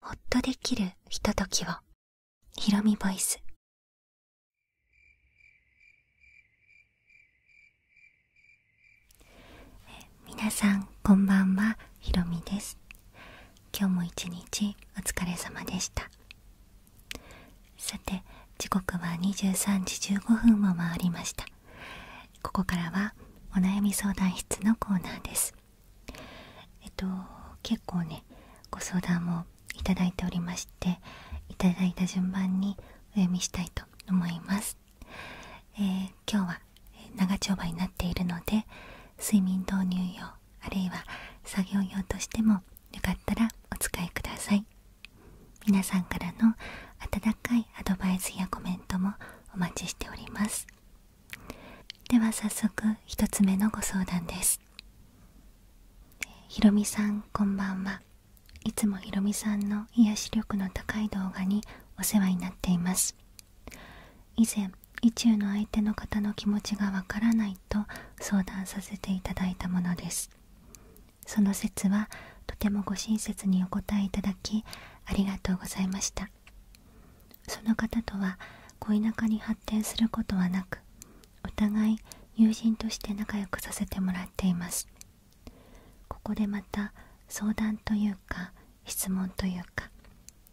ほっとできるひとときを。ひろみボイス。皆さん、こんばんは。ひろみです。今日も一日お疲れ様でした。さて、時刻は23時15分を回りました。ここからはお悩み相談室のコーナーです。えっと結構ねご相談もいただいておりましていただいた順番にお読みしたいと思います、え今日は長丁場になっているので睡眠導入用あるいは作業用としてもよかったらお使いください皆さんからの温かいアドバイスやコメントもお待ちしておりますでは早速1つ目のご相談ですひろみさんこんばんはいつもひろみさんの癒し力の高い動画にお世話になっています以前意中の相手の方の気持ちがわからないと相談させていただいたものですその説はとてもご親切にお答えいただきありがとうございましたその方とは恋仲に発展することはなくお互い友人として仲良くさせてもらっていますここでまた相談というか質問というか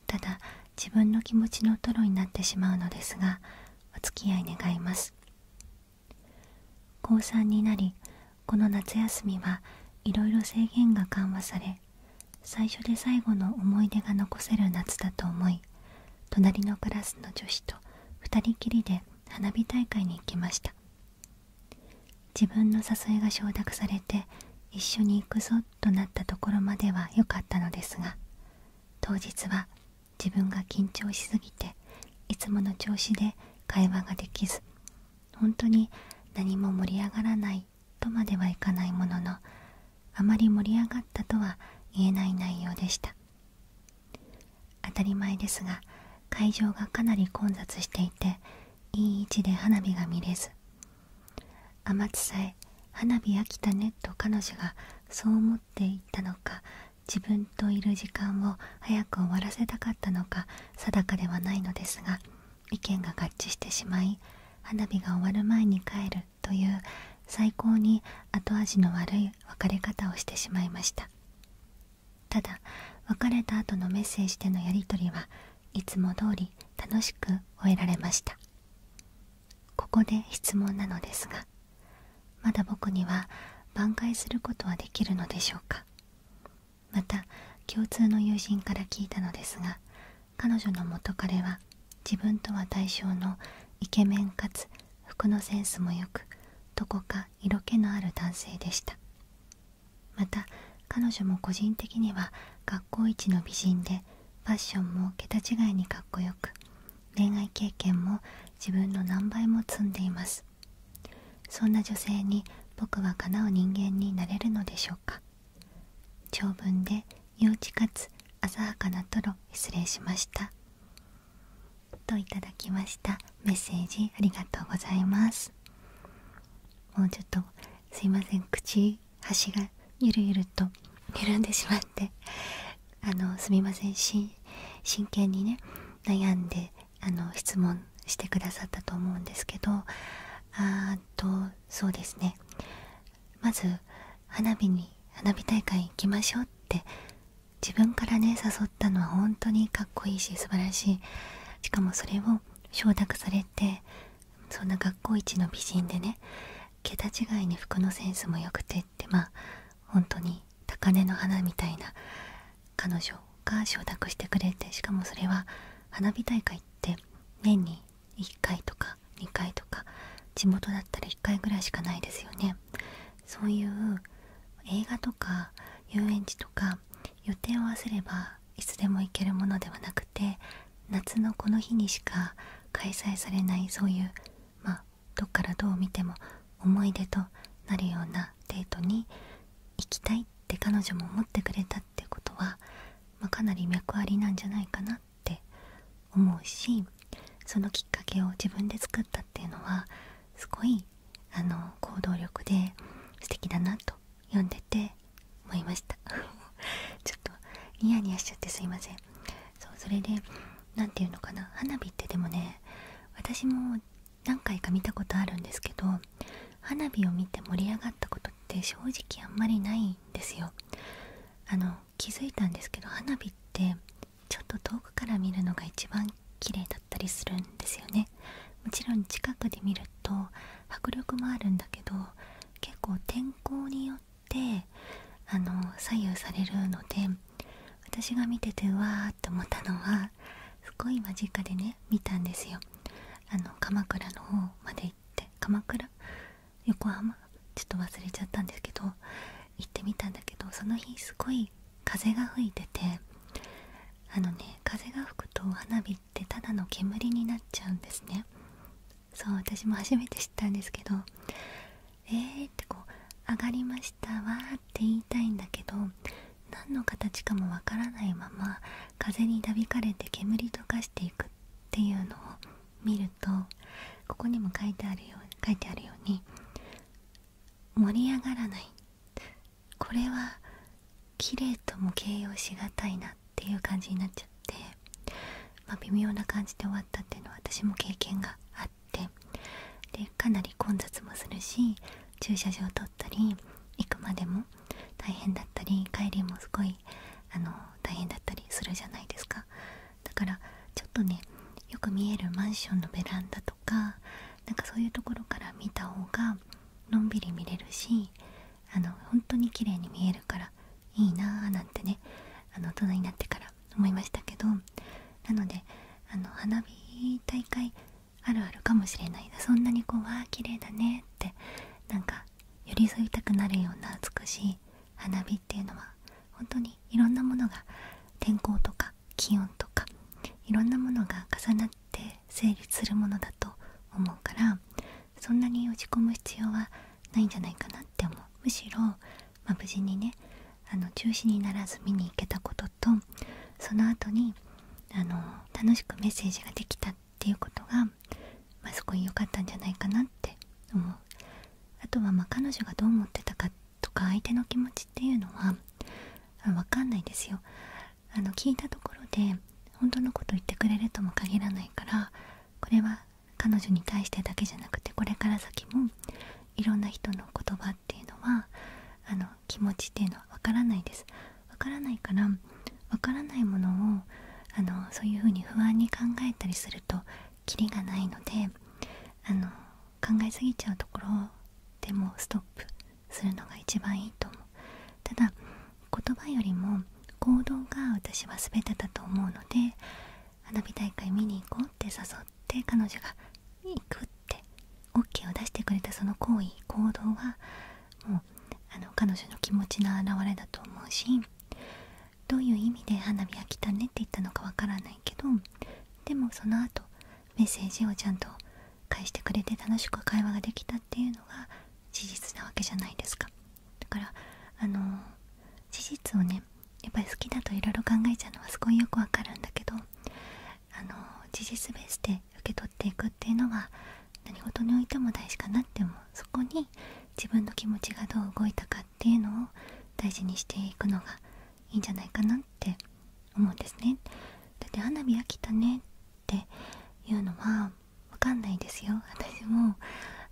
ただ自分の気持ちのトロになってしまうのですがお付き合い願います高3になりこの夏休みはいろいろ制限が緩和され最初で最後の思い出が残せる夏だと思い隣のクラスの女子と2人きりで花火大会に行きました自分の誘いが承諾されて一緒に行くぞとなったところまでは良かったのですが当日は自分が緊張しすぎていつもの調子で会話ができず本当に何も盛り上がらないとまではいかないもののあまり盛り上がったとは言えない内容でした当たり前ですが会場がかなり混雑していていい位置で花火が見れず天津さえ花火飽きたねと彼女がそう思ってったのか自分といる時間を早く終わらせたかったのか定かではないのですが意見が合致してしまい花火が終わる前に帰るという最高に後味の悪い別れ方をしてしまいましたただ別れた後のメッセージでのやり取りはいつも通り楽しく終えられましたここで質問なのですがまだ僕には挽回することはできるのでしょうかまた共通の友人から聞いたのですが彼女の元彼は自分とは対象のイケメンかつ服のセンスもよくどこか色気のある男性でしたまた彼女も個人的には学校一の美人でファッションも桁違いにかっこよく恋愛経験も自分の何倍も積んでいますそんな女性に僕はかなう人間になれるのでしょうか長文で幼稚かつ鮮やかなトロ失礼しましたと頂きましたメッセージありがとうございますもうちょっとすいません口端がゆるゆると緩んでしまってあのすみません真剣にね悩んであの質問してくださったと思うんですけどあーとそうですねまず花火に花火大会行きましょうって自分からね誘ったのは本当にかっこいいし素晴らしいしかもそれを承諾されてそんな学校一の美人でね桁違いに服のセンスも良くてってまあ本当に高嶺の花みたいな彼女が承諾してくれてしかもそれは花火大会行って年に1回とか2回とか地元だったら1回ぐらいしかないですよねそういう映画とか遊園地とか予定を合わせればいつでも行けるものではなくて夏のこの日にしか開催されないそういうまどっからどう見ても思い出となるようなデートに行きたいって彼女も思ってくれたってことは、まかなり脈ありなんじゃないかなっなって思うしそのきっかけを自分で作ったっていうのはすごいあの行動力で素敵だなと読んでて思いました ちょっとニヤニヤしちゃってすいませんそうそれで何て言うのかな花火ってでもね私も何回か見たことあるんですけど花火を見て盛り上がったことって正直あんまりないんですよあの気づいたんですけど花火ってちょっと遠くから見るのが一番綺麗だったりするんですよねもちろん近くで見ると迫力もあるんだけど結構天候によってあの左右されるので私が見ててうわーって思ったのはすごい間近でね見たんですよあの鎌倉の方まで行鎌倉横浜ちょっと忘れちゃったんですけど行ってみたんだけどその日すごい風が吹いててあのね風が吹くと花火ってただの煙になっちゃうんですねそう私も初めて知ったんですけどえーってこう上がりましたわーって言いたいんだけど何の形かもわからないまま風になびかれて煙とかしていくっていうのを見るとここにも書いてあるよ書いてあるように盛り上がらないこれは綺麗とも形容しがたいなっていう感じになっちゃって、まあ、微妙な感じで終わったっていうのは私も経験があってでかなり混雑もするし駐車場を取ったり行くまでも大変だったり帰りもすごいあの大変だったりするじゃないですかだからちょっとねよく見えるマンションのベランダとかなんかそういうところから見た方がのんびり見れるしあの本当に綺麗に見えるからいいなあ。なんてねあの大人になってから思いましたけどなのであの花火大会あるあるかもしれないそんなにこう「わあ綺麗だね」ってなんか寄り添いたくなるような美しい花火っていうのは本当にいろんなものが天候とか気温とかいろんなものが重なって成立するものだと思うからそんなに落ち込む必要はないんじゃないかなって思うむしろ、ま無事にねあの中止にならず見に行けたこととその後にあの楽しくメッセージができたっていうことが、まあ、すごい良かったんじゃないかなって思うあとはまあ彼女がどう思ってたかとか相手の気持ちっていうのはわかんないですよあの聞いたところで本当のこと言ってくれるとも限らないからこれは彼女に対してだけじゃなくてこれから先もいろんな人の言葉っていうのはあの気持ちっていうのはわからないですわからないからわからないものをそういうふうに不安に考えたりするとキリがないので考えすぎちゃうところでもストップするのが一番いいと思うただ言葉よりも行動が私は全てだと思うので花火大会見に行こうって誘って彼女が行くって OK を出してくれたその行為行動はもう彼女の気持ちの表れだと思うしどういう意味で花火が来たねって言ったのかわからないけどでもその後メッセージをちゃんと返してくれて楽しく会話ができたっていうのが事実なわけじゃないですかだからあの事実をねやっぱり好きだといろいろ考えちゃうのはすごいよくわかるんだけどあの事実ベースで受け取っていくっていうのは何事においても大事かなって思うそこに自分の気持ちがどう動いたかっていうのを大事にしていくのがいいんじゃないかなって思うんですねだって花火飽きたねっていうのはわかんないですよ私も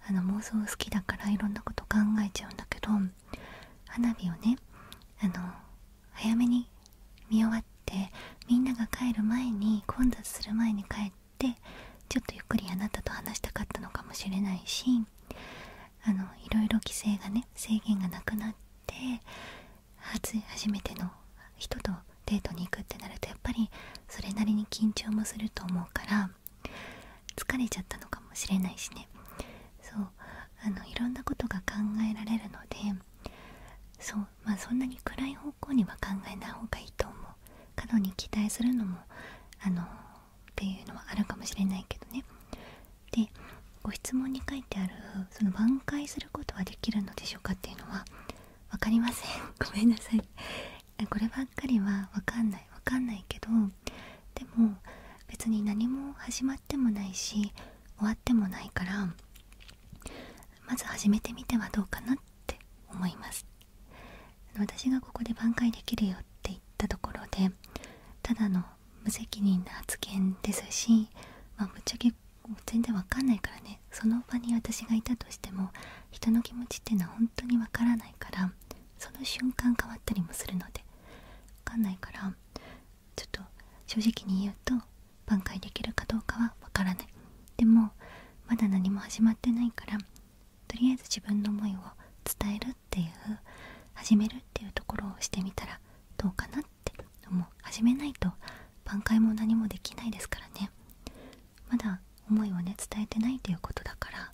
あの妄想好きだからいろんなこと考えちゃうんだけど花火をねあの早めに見終わってみんなが帰る前に混雑する前に帰っっちょっとゆっくりあなたと話したかったのかもしれないしあのいろいろ規制がね制限がなくなって初初めての人とデートに行くってなるとやっぱりそれなりに緊張もすると思うから疲れちゃったのかもしれないしねそうあのいろんなことが考えられるのでそうまそんなに暗い方向には考えない方がいいと思も過度に期待するのもあのっていうのはあるかもしれないけどねでご質問に書いてあるその挽回することはできるのでしょうかっていうのは分かりません ごめんなさいこればっかりは分かんない分かんないけどでも別に何も始まってもないし終わってもないからまず始めてみてはどうかなっって思います私がここで挽回できるよって言ったところでただの無責任な発言ですし、まあ、ぶっちゃけ全然わかんないからねその場に私がいたとしても人の気持ちっていうのは本当にわからないからその瞬間変わったりもするのでわかんないからちょっと正直に言うと挽回できるかどうかはわからないでもまだ何も始まってないからとりあえず自分の思いを伝えるっていう始めるっていうところをしてみたらどうかなって思う始めないと挽回も何もできないですからねまだ思いをね伝えてないということだから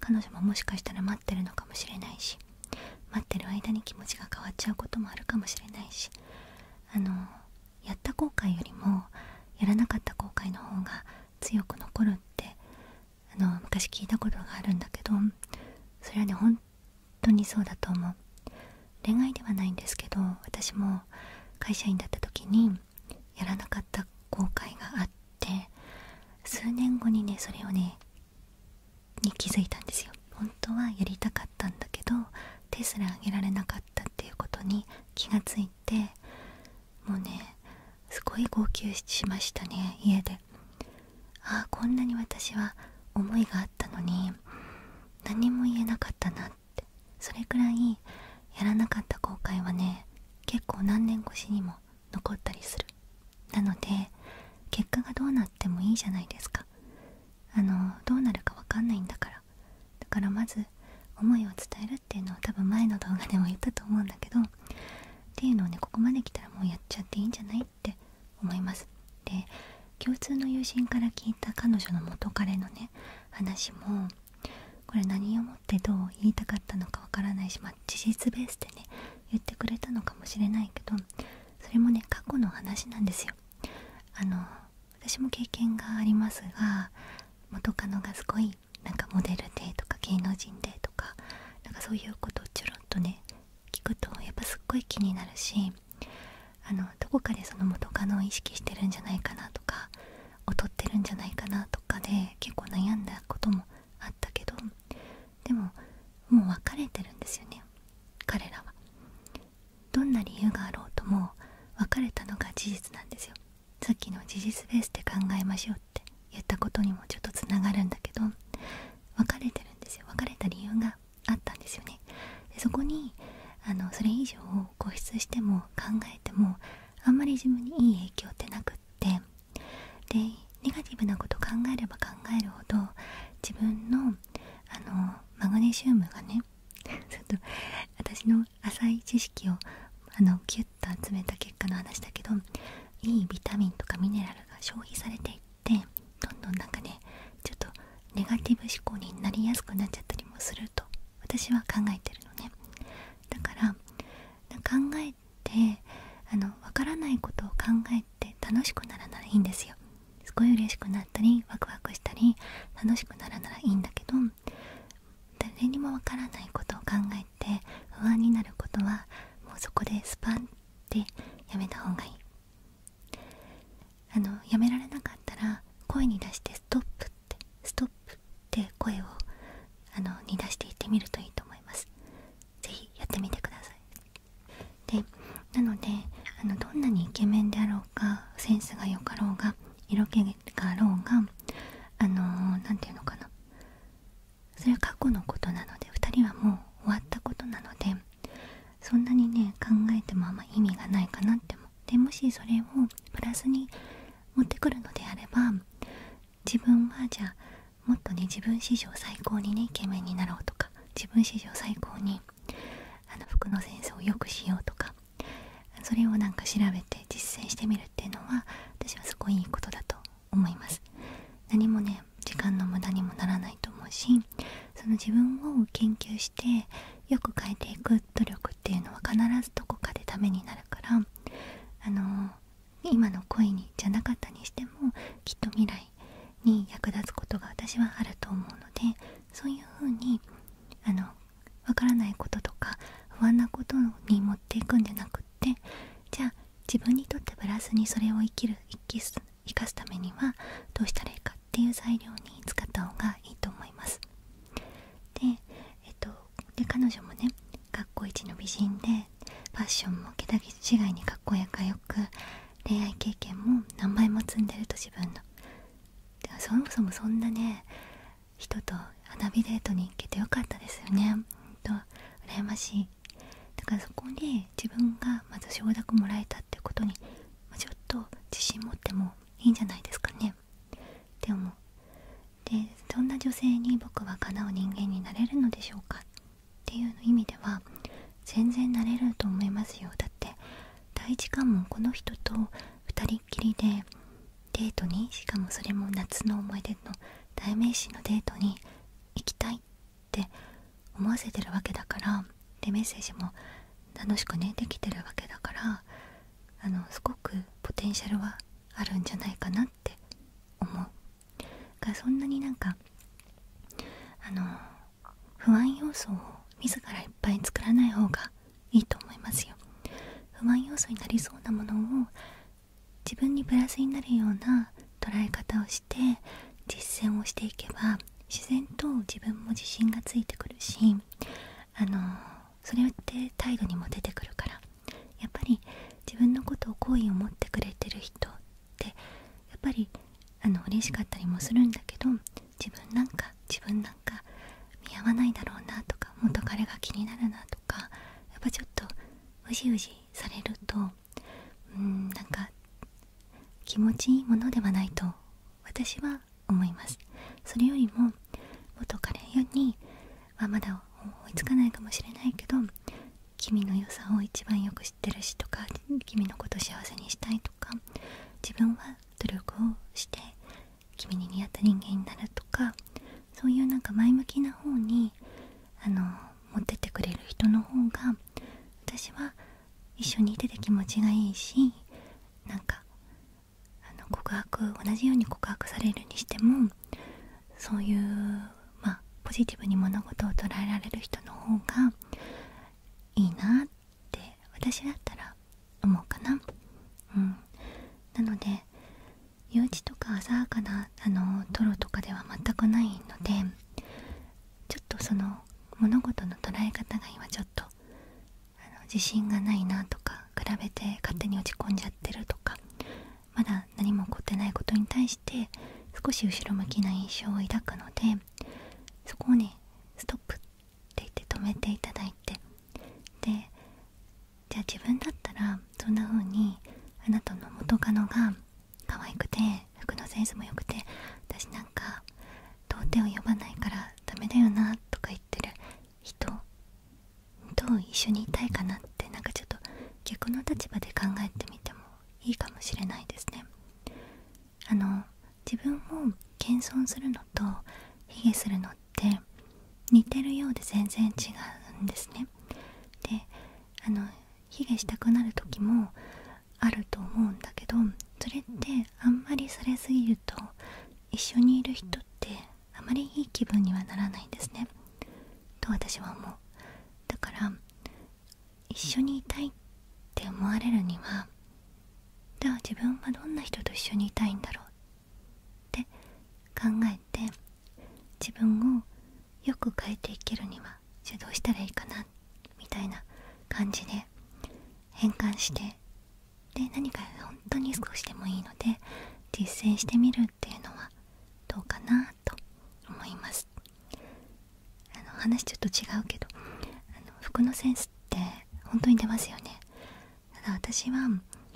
彼女ももしかしたら待ってるのかもしれないし待ってる間に気持ちが変わっちゃうこともあるかもしれないしあのやった後悔よりもやらなかった後悔の方が強く残るってあの昔聞いたことがあるんだけどそれはね本当にそうだと思う恋愛ではないんですけど私も会社員だった時にやらなかった後悔があって数年後にねそれをねに気づいたんですよ本当はやりたかったんだけど手すらあげられなかったっていうことに気がっもうねすごい号泣しましたね家でああこんなに私は思いがあったのに何も言えなかったなってそれくらいやらなかった後悔はね結構何年越しにも残ったりするなので結果がどうなってもいいじゃないですかあのどうなるかわかんないんだからだからまず思いを伝えるっていうのは多分前の動画でも言ったと思うんだけどっていうのをねここまで来たらもうやっちゃっていいんじゃないって思いますで共通の友人から聞いた彼女の元彼のね話もこれ何をもってどう言いたかったのかわからないし、まあ、事実ベースでね言ってくれたのかもしれないけどそれもね過去の話なんですよあの私も経験がありますが元カノがすごいなんかモデルでとか芸能人でとかなんかそういうことをちょろっとね聞くとやっぱすっごい気になるしあのどこかでその元カノを意識してるんじゃないかなとか劣ってるんじゃないかなとかで結構悩んだこともあったけどでももう別れてるんですよね彼らは。どんな理由があろうとも別れたのが事実なんですよ。さっきの事実ベースで考えましょうって言ったことにもちょっとつながるんだけど別れてるんですよ別れた理由があったんですよねでそこにあのそれ以上固執しても考えてもあんまり自分にいい影響ってなくってでネガティブなこと考えれば考えるほど自分のあのマグネシウムがね ちょっと私の浅い知識をあのギュッ集めた結果の話だけどいいビタミンとかミネラルが消費されていってどんどんなんかねちょっとネガティブ思考になりやすくなっちゃったりもすると私は考えてるのねだから考えてあの分からないことを考えて楽しくならならいいんですよすごい嬉しくなったりワクワクしたり楽しくならならいいんだけど誰にもわからないことを考えて不安になることはもうそこでスパンってやめた方がいいあのやめられなかったら声に出してストップってストップって声をあのに出していってみるといいと思います是非やってみてくださいでなのであのどんなにイケメンであろうかセンスが良かろうが色気があろうがあの何て言うのかなそれは過去のことなので2人はもう終わったことなのでそんなにね考えてもあんま意味がないかなって思っもしそれをプラスに持ってくるのであれば自分はじゃあもっとね自分史上最高にねイケメンになろうとか自分史上最高にあの服のセンスを良くしようとかそれをなんか調べて実践してみるっていうのは私はすごいいいことだと思います何もね時間の無駄にもならないと思うしその自分を研究してよく変えていく努力っていうのは必ずどこかでためになるからあの今の恋にじゃなかったにしてもきっと未来に役立つことが私はあると思うのでそういうふうにあのわからないこととか不安なことに持っていくんじゃなくってじゃあ自分にとってプラスにそれを生きる生かすためにはどうしたらいいかっていう材料に使った方がいいと思います。で,、えっと、で彼女もね学校一の美人でファッションもけだぎ違いにかっこよく恋愛経験も何倍も積んでると自分の。そもそもそんなね人と花火デートに行けてよかったですよねほんと羨ましいだからそこで自分がまず承諾もらえたってことにちょっと自信持ってもいいんじゃないですかねって思うでそんな女性に僕はかなう人間になれるのでしょうかっていう意味では全然なれると思いますよだって第一関もこの人と2人っきりでデートにしかもそれも夏の思い出の代名詞のデートに行きたいって思わせてるわけだからでメッセージも楽しくねできてるわけだからあのすごくポテンシャルはあるんじゃないかなって思うがそんなになんかあの不安要素を自らいっぱい作らない方がいいと思いますよ不満要素になりそうなものを自分にプラスになるような捉え方をして実践をしていけば自然と自分も自信がついてくるしあのそれって態度にも出てくるからやっぱり自分のことを好意を持ってくれてる人ってやっぱりあの嬉しかったりもするんだけど自分なんか自分なんか見合わないだろうなとか元彼が気になるなとかやっぱちょっとうじうじされるとうんなんか気持ちいいものではないと私は思いますそれよりも元彼にはまだ追いつかないかもしれないけど君の良さを一番よく知ってるしとか君のこと幸せにしたいとか自分は努力をして君に似合った人間になるとかそういうなんか前向きな方にあの持ってってくれる人の方が私は一緒にいてて気持ちがいいしなんかあの告白同じように告白されるにしてもそういう、まポジティブに物事を捉えられる人の方がいいなって私だったら思うかな。うん、なので幼稚とか浅はかなあのトロとかでは全くないのでちょっとその物事の捉え方が今ちょっと自信がないなとか比べて勝手に落ち込んじゃってるとかまだ何も起こってないことに対して少し後ろ向きな印象を抱くのでそこをねストップって言って止めていただいてでじゃあ自分だったらそんな風にあなたの元カノが可愛くて服のセンスも良くて私なんか童貞を呼ばないからダメだよなとか言ってる人と一緒にいたいかなってなんかちょっと逆の立場で考えてみてもいいかもしれないですね。あの自分を謙遜するとヒゲするのって似てるようで全然違うんですねであのヒゲしたくなる時もあると思うんだけどそれってあんまりされすぎると一緒にいる人ってあまりいい気分にはならないんですねと私は思うだから一緒にいたいって思われるにはじゃあ自分はどんな人と一緒にいたいんだろうっ考えて自分をよく変えていけるにはじゃあどうしたらいいかなみたいな感じで変換してで何か本当に少しでもいいので実践してみるっていうのはどうかなと思いますあの話ちょっと違うけどあの服のセンスって本当に出ますよねただ私は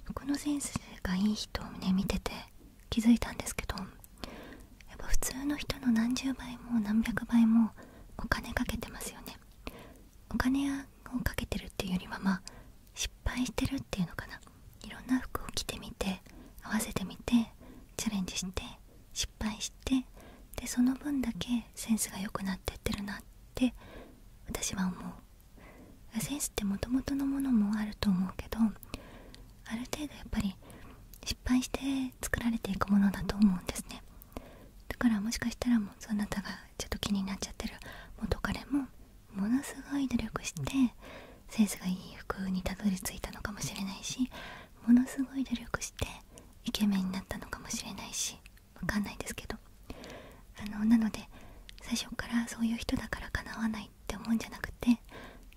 僕のセンスがいい人をね見てて気づいたんですけどやっぱ普通の人の何十倍も何百倍もお金かけてますよねお金をかけてるっていうよりはまあ失敗してるっていうのかないろんな服を着てみて合わせてみてチャレンジして失敗してでその分だけセンスが良くなってってるなって私は思うセンスってもともとのものもあると思うけどある程度やっぱり失敗して作られていくものだと思うんですねだからもしかしたらもうそなたがちょっと気になっちゃってる元彼もものすごい努力してセンスがいい服にたどり着いたのかもしれないしものすごい努力してイケメンになったのかもしれないしわかんないですけどあのなので最初からそういう人だから叶わないって思うんじゃなくて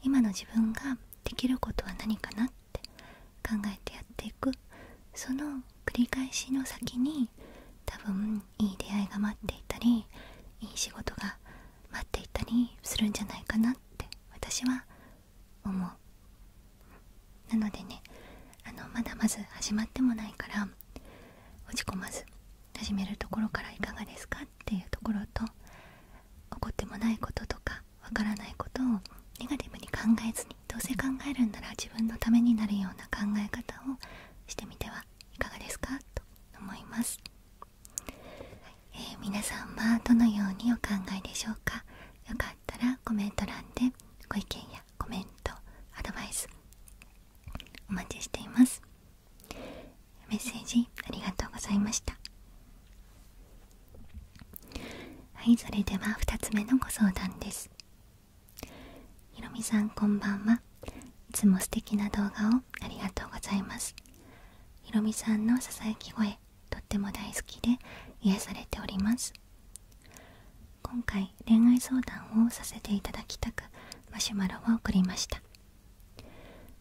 今の自分ができることは何かなって考えてやっていくその繰り返しの先に多分いい出会いが待っていたりいい仕事が待っていたりするんじゃないかなって私は思うなのでねあのまだまず始まってもないから落ち込まず始めるところからいかがですかっていうところと怒ってもないこととかわからないことをネガティブに考えずにどうせ考えるんなら自分のためになるような考え方をしてみてはいかがですかと思います、え皆さんはどのようにお考えでしょうかよかったらコメント欄でご意見やコメントアドバイスお待ちしていますメッセージありがとうございましたはいそれでは2つ目のご相談ですひろみさんこんばんはいつも素敵な動画をありがとうございますひろみさんのささやき声とっても大好きで癒されております今回恋愛相談をさせていただきたくマシュマロを送りました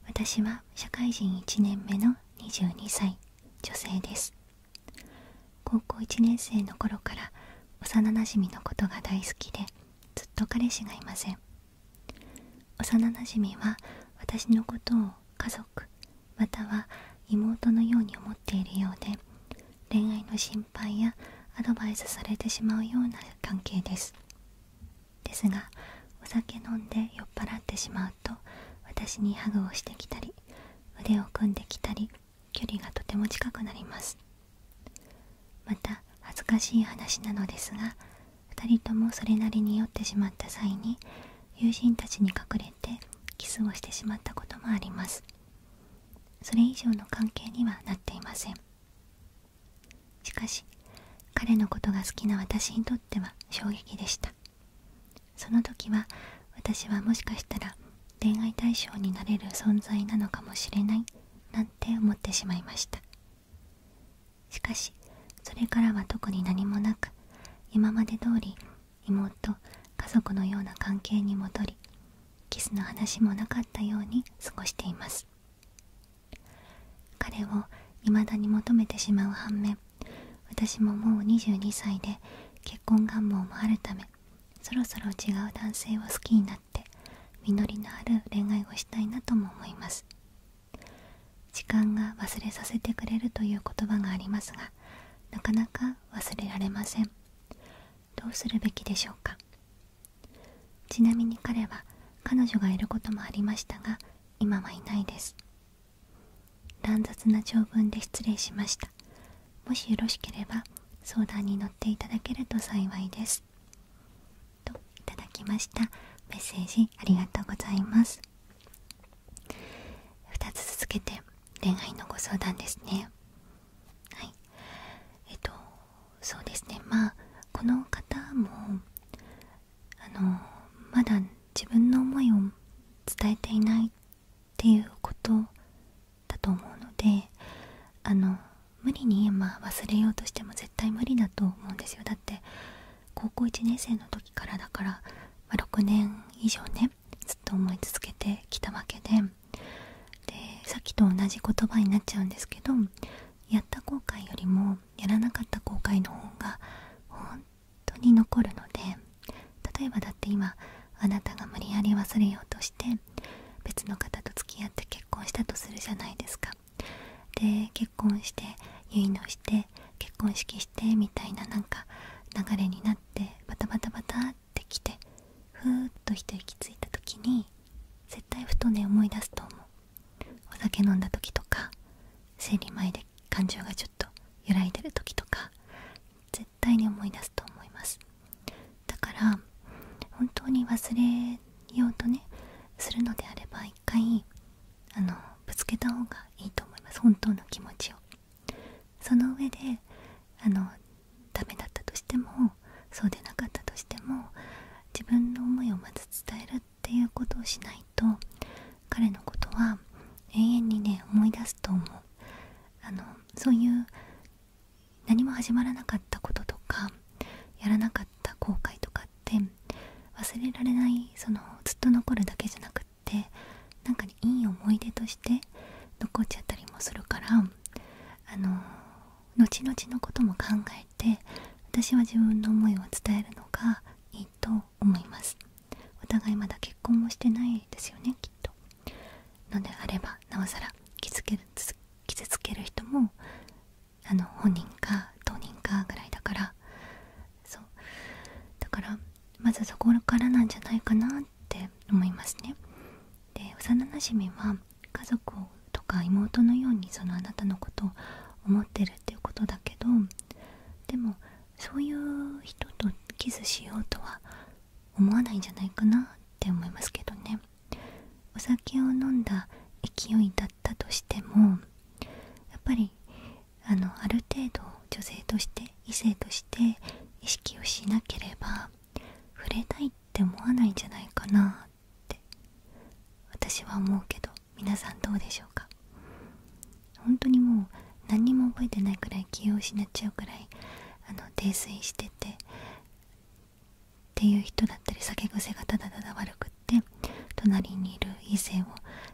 私は社会人1年目の22歳女性です高校1年生の頃から幼なじみのことが大好きでずっと彼氏がいません幼なじみは私のことを家族または妹のように思っているようで恋愛の心配やアドバイスされてしまうような関係ですですがお酒飲んで酔っ払ってしまうと私にハグをしてきたり腕を組んできたり距離がとても近くなりますまた恥ずかしい話なのですが2人ともそれなりに酔ってしまった際に友人たちに隠れてキスをしてしまったこともありますそれ以上の関係にはなっていませんしかし彼のことが好きな私にとっては衝撃でしたその時は私はもしかしたら恋愛対象になれる存在なのかもしれないなんて思ってしまいましたしかしそれからは特に何もなく今まで通り妹家族のような関係に戻りキスの話もなかったように過ごしています彼を未だに求めてしまう反面私ももう22歳で結婚願望もあるためそろそろ違う男性を好きになって実りのある恋愛をしたいなとも思います時間が忘れさせてくれるという言葉がありますがなかなか忘れられませんどうするべきでしょうかちなみに彼は彼女がいることもありましたが今はいないです乱雑な長文で失礼しましたもしよろしければ相談に乗っていただけると幸いですといただきましたメッセージありがとうございます2つ続けて恋愛のご相談ですねはいえっとそうですねまこの方もあのまだ自分の思いを伝えていないっていうことだと思うのであの無理に今忘れようとしても絶対無理だと思うんですよだって高校1年生の時からだから、ま6年以上ねずっと思い続けてきたわけででさっきと同じ言葉になっちゃうんですけどやった後悔よりもやらなかった後悔の方が本当に残るので例えばだって今あなたが無理やり忘れようとして別の方と付き合って結婚したとするじゃないですか。で結婚して結納して結婚式してみたいななんか流れになってバタバタバタって来てふーっと一息ついた時に絶対ふとね思い出すと思うお酒飲んだ時とか生理前で感情がちょっと揺らいでる時とか絶対に思い出すと思いますだから本当に忘れようとねするのであれば一回あのぶつけた方がいいと思います本当の気持ちをその上であのダメだったとしてもそうでなかったとしても自分の思いをまず伝えるっていうことをしないと彼のことは永遠にね思い出すと思うあのそういう何も始まらなかったこととかやらなかった後悔とかって忘れられないそのずっと残るだけじゃなくってなんか、ね、いい思い出として残っちゃったりもするからあの後々のことも考えて私は自分の思いを伝えるのがいいと思いますお互いまだ結婚もしてないですよねきっとのであればなおさら傷つける傷つける人もあの本人か当人かぐらいだからそうだからまずそこからなんじゃないかなって思いますねで幼なじは家族とか妹のようにそのあなたのことを思ってるっていうことだけどでもそういう人とキスしようとは思わないんじゃないかなって思いますけどねお酒を飲んだ勢いだったとしてもやっぱりあのある程度女性として異性として意識をしなければ触れたいって思わないんじゃないかなって私は思うけど皆さんどうでしょうか本当にもう何にも覚えてないくらい気を失っちゃうくらいあの泥酔しててっていう人だったり酒癖がただただ悪くって隣にいる異性を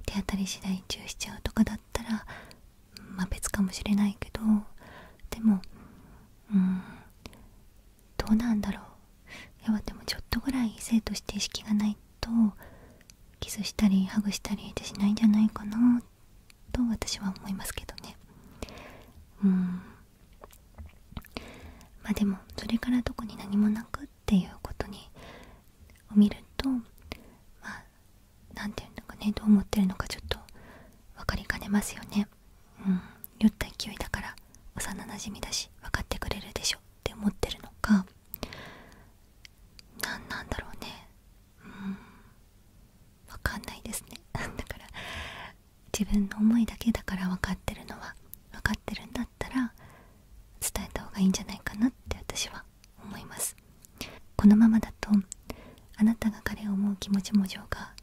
手当たり次第チュしちゃうとかだったらま別かもしれないけどでもうんどうなんだろういやでもちょっとぐらい生性として意識がないとキスしたりハグしたりってしないんじゃないかなと私は思いますけどねうんまあでもそれから特に何もなくっていうことにを見るとまあ何て言うのかねどう思ってるのかちょっと分かりかねますよねうん酔った勢いだから幼なじみだし分かってくれるでしょって思ってるのか何なんだろうねうん分かんないですね だから自分の思いだけだから分かってるのは分かってるんだったら伝えた方がいいんじゃないかなって私は思いますこのままだとあなたが彼を思う気持ちも情が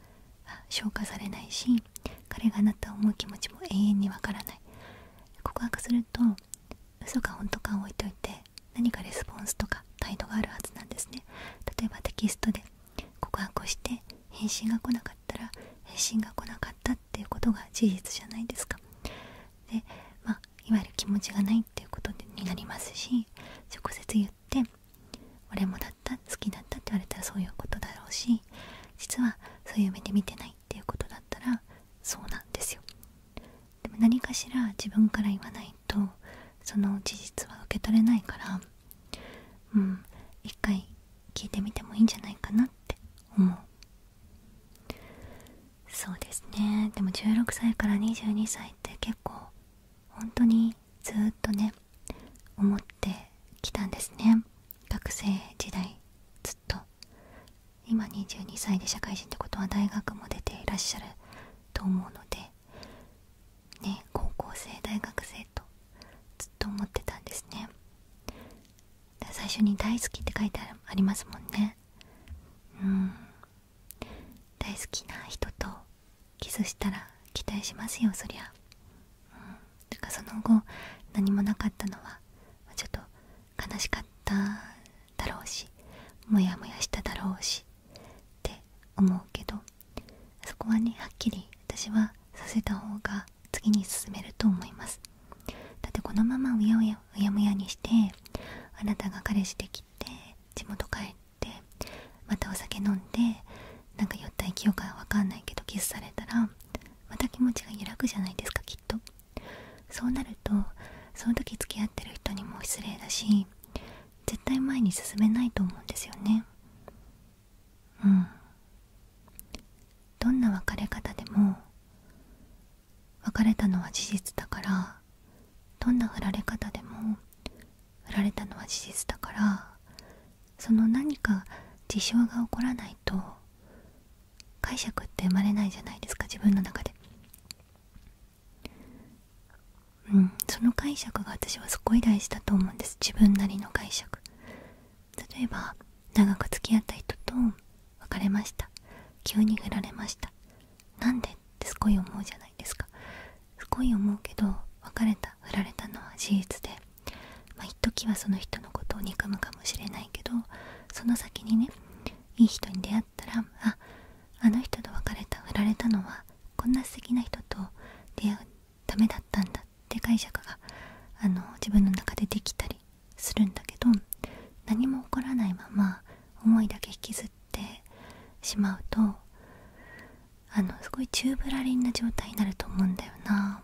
消化されないし彼があなたを思気持ちも永遠にわからない告白すると嘘か本当かを置いといて何かレスポンスとか態度があるはずなんですね例えばテキストで告白をして返信が来なかったら返信が来なかったっていうことが事実じゃないですかでまあいわゆる気持ちがないっていうことになりますし直接言って俺もだった好きだったって言われたらそういうことだろうし実はそういう目で見てないっていうことだったらそうなんですよでも何かしら自分から言わないとその事実は受け取れないからうん一回聞いてみてもいいんじゃないかなって思うそうですねでも16歳から22歳って結構本当にずっとね思ってきたんですね学生時代ずっと今22歳で社会人ってことは大学も出ていらっしゃると思うのでね高校生大学生とずっと思ってたんですね最初に「大好き」って書いてありますもんねうん大好きな人とキスしたら期待しますよそりゃかその後何もなかったのはちょっと悲しかっただろうしモヤモヤしただろうしって思うけどそこはねはっきり私はさせた方が次に進めると思いますだってこのままうやうやうやむやにしてあなたが彼氏できて地元帰ってまたお酒飲んでなんか酔った勢いかわかんないけどキスされたらまた気持ちが揺らぐじゃないですかきっとそうなるとその時付き合ってる人にも失礼だし絶対前に進めないと思うんですよねうんどんな別れ方でも別れたのは事実だからどんな振られ方でも振られたのは事実だからその何か事象が起こらないと解釈って生まれないじゃないですか自分の中でうんその解釈が私はすごい大事だと思うんです自分なりの解釈例えば長く付き合った人と別れました急に振られました何でってすごい思うじゃないですかすごい思うけど別れた振られたのは事実でまあ一時はその人のことを憎むかもしれないけどその先にねいい人に出会ったらああの人と別れた振られたのはこんな素敵な人と出会うためだったんだって解釈があの自分の中でできたりするんだけど何も起こらないまま思いだけ引きずってしまうとあのすごいチぶらりんな状態になると思うんだよな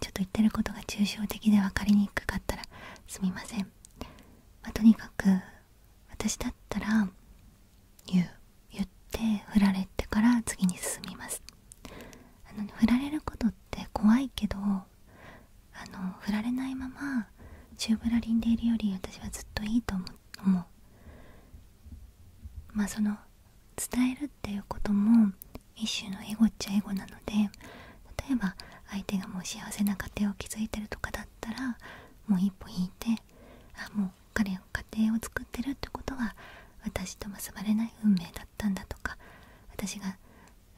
ちょっと言ってることが抽象的で分かりにくかったらすみません、まとにかく私だったら言う言って振られてから次に進みますあの、振られることって怖いけどあの振られないままチぶらりんでいるより私はずっといいと思うまあその伝えるっていうことも一種のエゴっちゃエゴなので例えば相手がもう幸せな家庭を築いてるとかだったらもう一歩引いてあもう彼が家庭を作ってるってことは私と結ばれない運命だったんだとか私が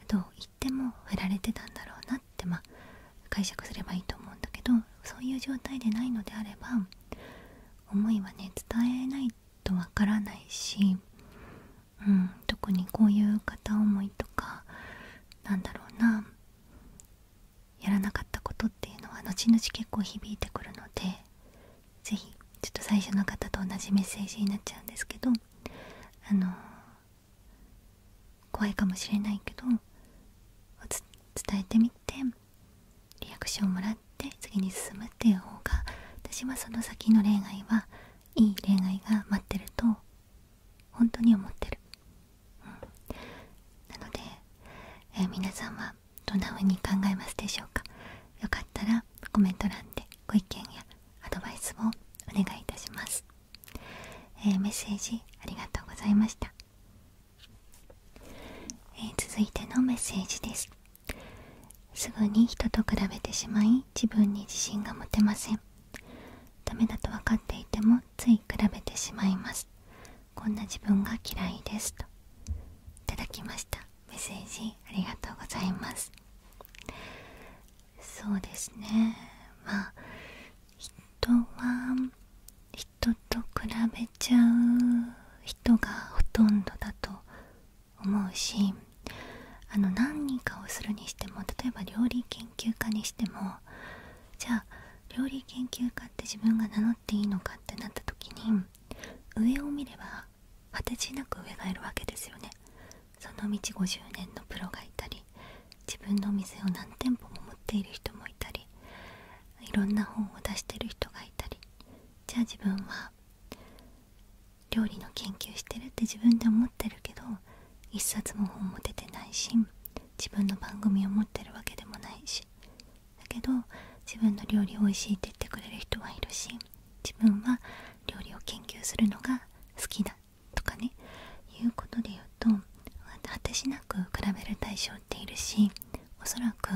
どう言っても振られてたんだろうなってま解釈すればいいと思うんだけどそういう状態でないのであれば思いはね伝えないとわからないし、特にこういう片思いとかなんだろうなやらなかったことっていうのは後々結構響いてくるので是非ちょっと最初の方と同じメッセージになっちゃうんですけどあの怖いかもしれないけど伝えてみて。っリアクションをもらって次に進むっていう方が私はその先の恋愛はいい恋愛が待ってると本当に思ってる、なので、え皆さんはどんな風に考えますでしょうかよかったらコメント欄でご意見やアドバイスをお願いいたします、えメッセージありがとうございましたえ続いてのメッセージですすぐに人と比べてしまい自分に自信が持てませんダメだと分かっていてもつい比べてしまいますこんな自分が嫌いですといただきましたメッセージありがとうございますそうですねまあ人は人と比べちゃう人がほとんどだと思うしあの何人かをするにしても例えば料理研究家にしてもじゃあ料理研究家って自分が名乗っていいのかってなった時に上を見れば果てしなく上がいるわけですよね。その道50年のプロがいたり自分のお店を何店舗も持っている人もいたりいろんな本を出してる人がいたりじゃあ自分は料理の研究してるって自分で思ってるけど一冊も本も出てないし自分の番組を持ってるわけでもないしだけど自分の料理おいしいって言ってくれる人はいるし自分は料理を研究するのが好きだとかねいうことで言うと果てしなく比べる対象通ているしおそらく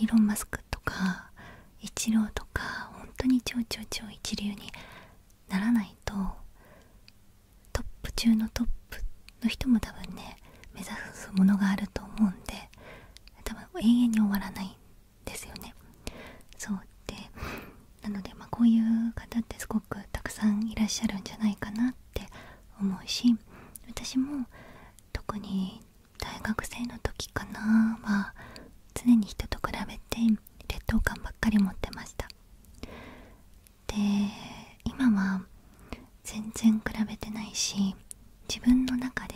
イーロン・マスクとかイチローとか本当に超超超一流にならないとトップ中のトップの人も多分ね目指すものがあると思うんで多分永遠に終わらないんですよね。そうってなので、まこういう方ってすごくたくさんいらっしゃるんじゃないかなって思うし私も特に大学生の時かなは常に人と比べて劣等感ばっかり持ってましたで今は全然比べてないし自分の中で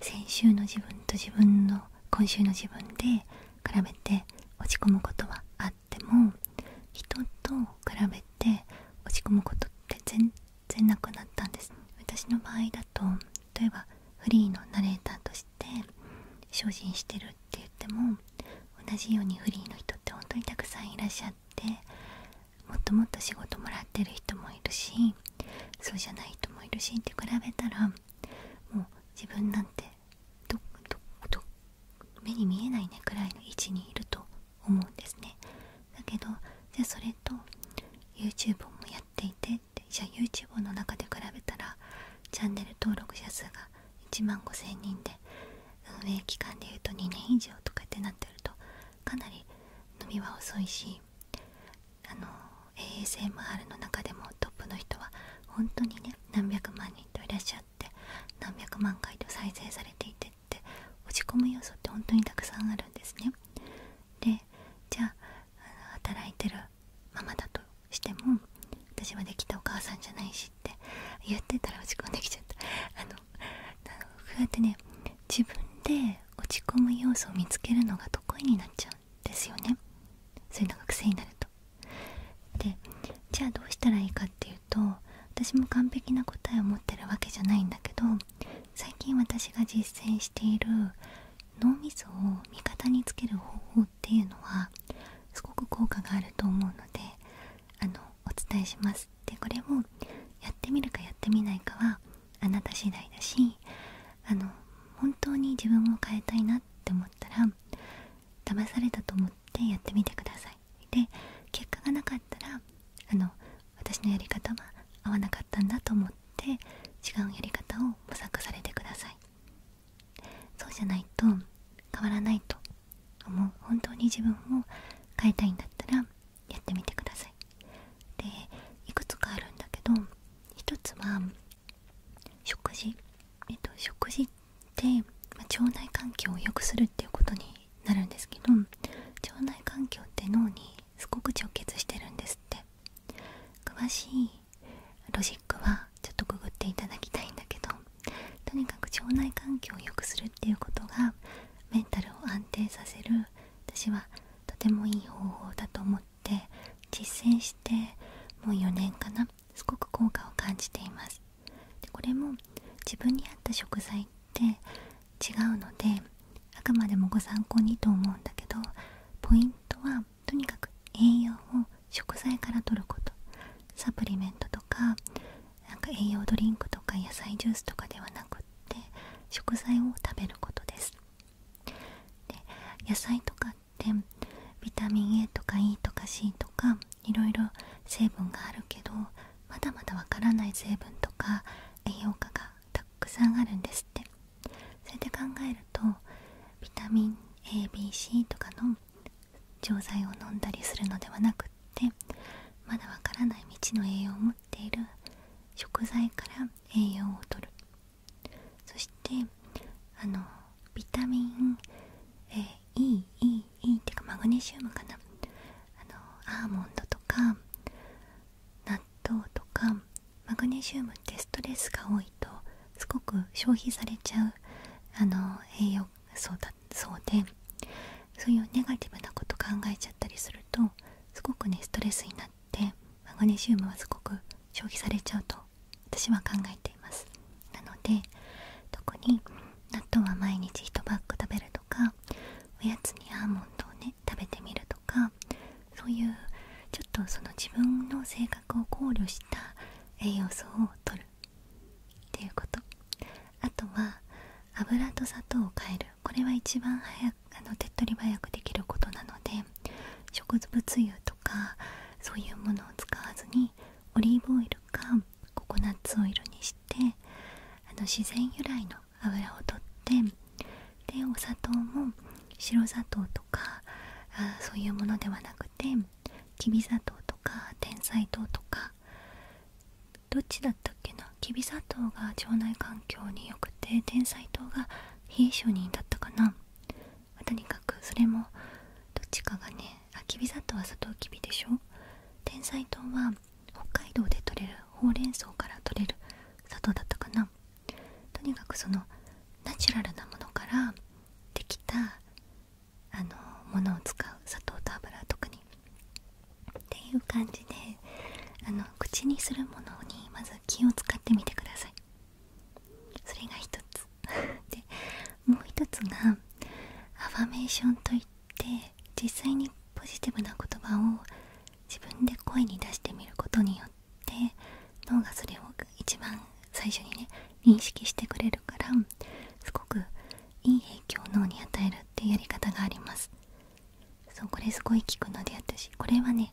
先週の自分と自分の今週の自分で比べて落ち込むことはあっても人と比べて落ち込むことって全然なくなったんです私の場合だと例えばフリーのナレーターとして精進してるって言っても同じようにフリーの人って本当にたくさんいらっしゃってもっともっと仕事もらってる人もいるしそうじゃない人もいるしって比べたらもう自分なんてどどど目に見えないねくらいの位置にいると思うんですねだけどじゃあそれと YouTube もやっていてじゃあ YouTube の中で比べたらチャンネル登録者数が1万5000人で運営期間でいうと2年以上とかってなってるとかなり伸びは遅いしあの ASMR の中でもトップの人は本当にね何百万人といらっしゃって何百万回と再生されていてっっ落ち込む要素って本当にたくさんあるんですねでじゃあ働いてるママだとしても私はできたお母さんじゃないしって言ってたら落ち込んできちゃったあのこうやってね自分で落ち込む要素を見つけるのが得意になっちゃうんですよねそういうのが癖になるとでじゃあどうしたらいいかっていうと私も完璧な答えを持ってるわけじゃないんだけど最近私が実践している脳みそを味方につける方法っていうのはすごく効果があると思うのであのお伝えしますでこれをやってみるかやってみないかはあなた次第だしあの本当に自分を変えたいなって思ったら騙されたと思ってやってみてくださで結果がなかったらあの私のやり方は合わなかったんだと思って違うやり方を模索されてくださいそうじゃないと変わらないと思う本当に自分を変えたいんだったらやってみてくださいでいくつかあるんだけど一つは食事えっと食事って、ま腸内環境を良くするっていうことになるんですけど腸内環境って脳にすごく直結してるんですって詳しいロジックはちょっとググっていただきたいんだけどとにかく腸内環境を良くするっていうことがメンタルを安定させる私はとてもいい方法だと思って実践してもう4年かなすごく効果を感じていますでこれも自分に合った食材って違うのであくまでもご参考にと思うんだけどポイントはとにかく栄養を食材から摂ることサプリメントとかなんか栄養ドリンクとか野菜ジュースとかではなくって食材を食べることですで野菜とかってビタミン A とか E とか C とかいろいろ成分があるけどまだまだわからない成分とか栄養価がたくさんあるんですってそれで考えるとビタミン ABC とかの錠剤を飲んだりするのではなくってまだわからない未知の栄養を持っている食材から栄養をとるそしてあのビタミン EEE、e e e、っていうかマグネシウムかなあのアーモンドとか納豆とかマグネシウムってストレスが多いとすごく消費されちゃうあの栄養素だそうでそういうネガティブなこと考えちゃったりするとすごくねストレスになってマグネシウムはすごく消費されちゃうと私は考えていますなので特に納豆は毎日1パック食べるとかおやつにアーモンドをね食べてみるとかそういうちょっとその自分の性格を考慮した栄養素を摂るっていうことあとは油と砂糖を変えるこれは一番早くあの手っ取り早くできることなので植物油とかそういうものを使わずにオリーブオイルかココナッツオイルにしてあの自然由来の油を取ってでお砂糖も白砂糖とかあそういうものではなくてきび砂糖とかてんさい糖とかどっちだったっけなきび砂糖が腸内環境によくててんさい糖が冷え性にだったかなとにかくそれもどっちかがねあきび砂糖は砂糖きびでしょてんさは北海道で採れるほうれん草から採れる砂糖だったかなとにかくそのナチュラルなものからできたあのものを使う砂糖と油特にっていう感じであの口にするものにまず気を使ってみてくださいそれが一つ でもう一つがアファメーションといっっ実際にポジティブな言葉を自分で声に出してみることによって脳がそれを一番最初にね認識してくれるからすごくいい影響を脳に与えるっていうやり方がありますそうこれすごい効くのでったし、これはね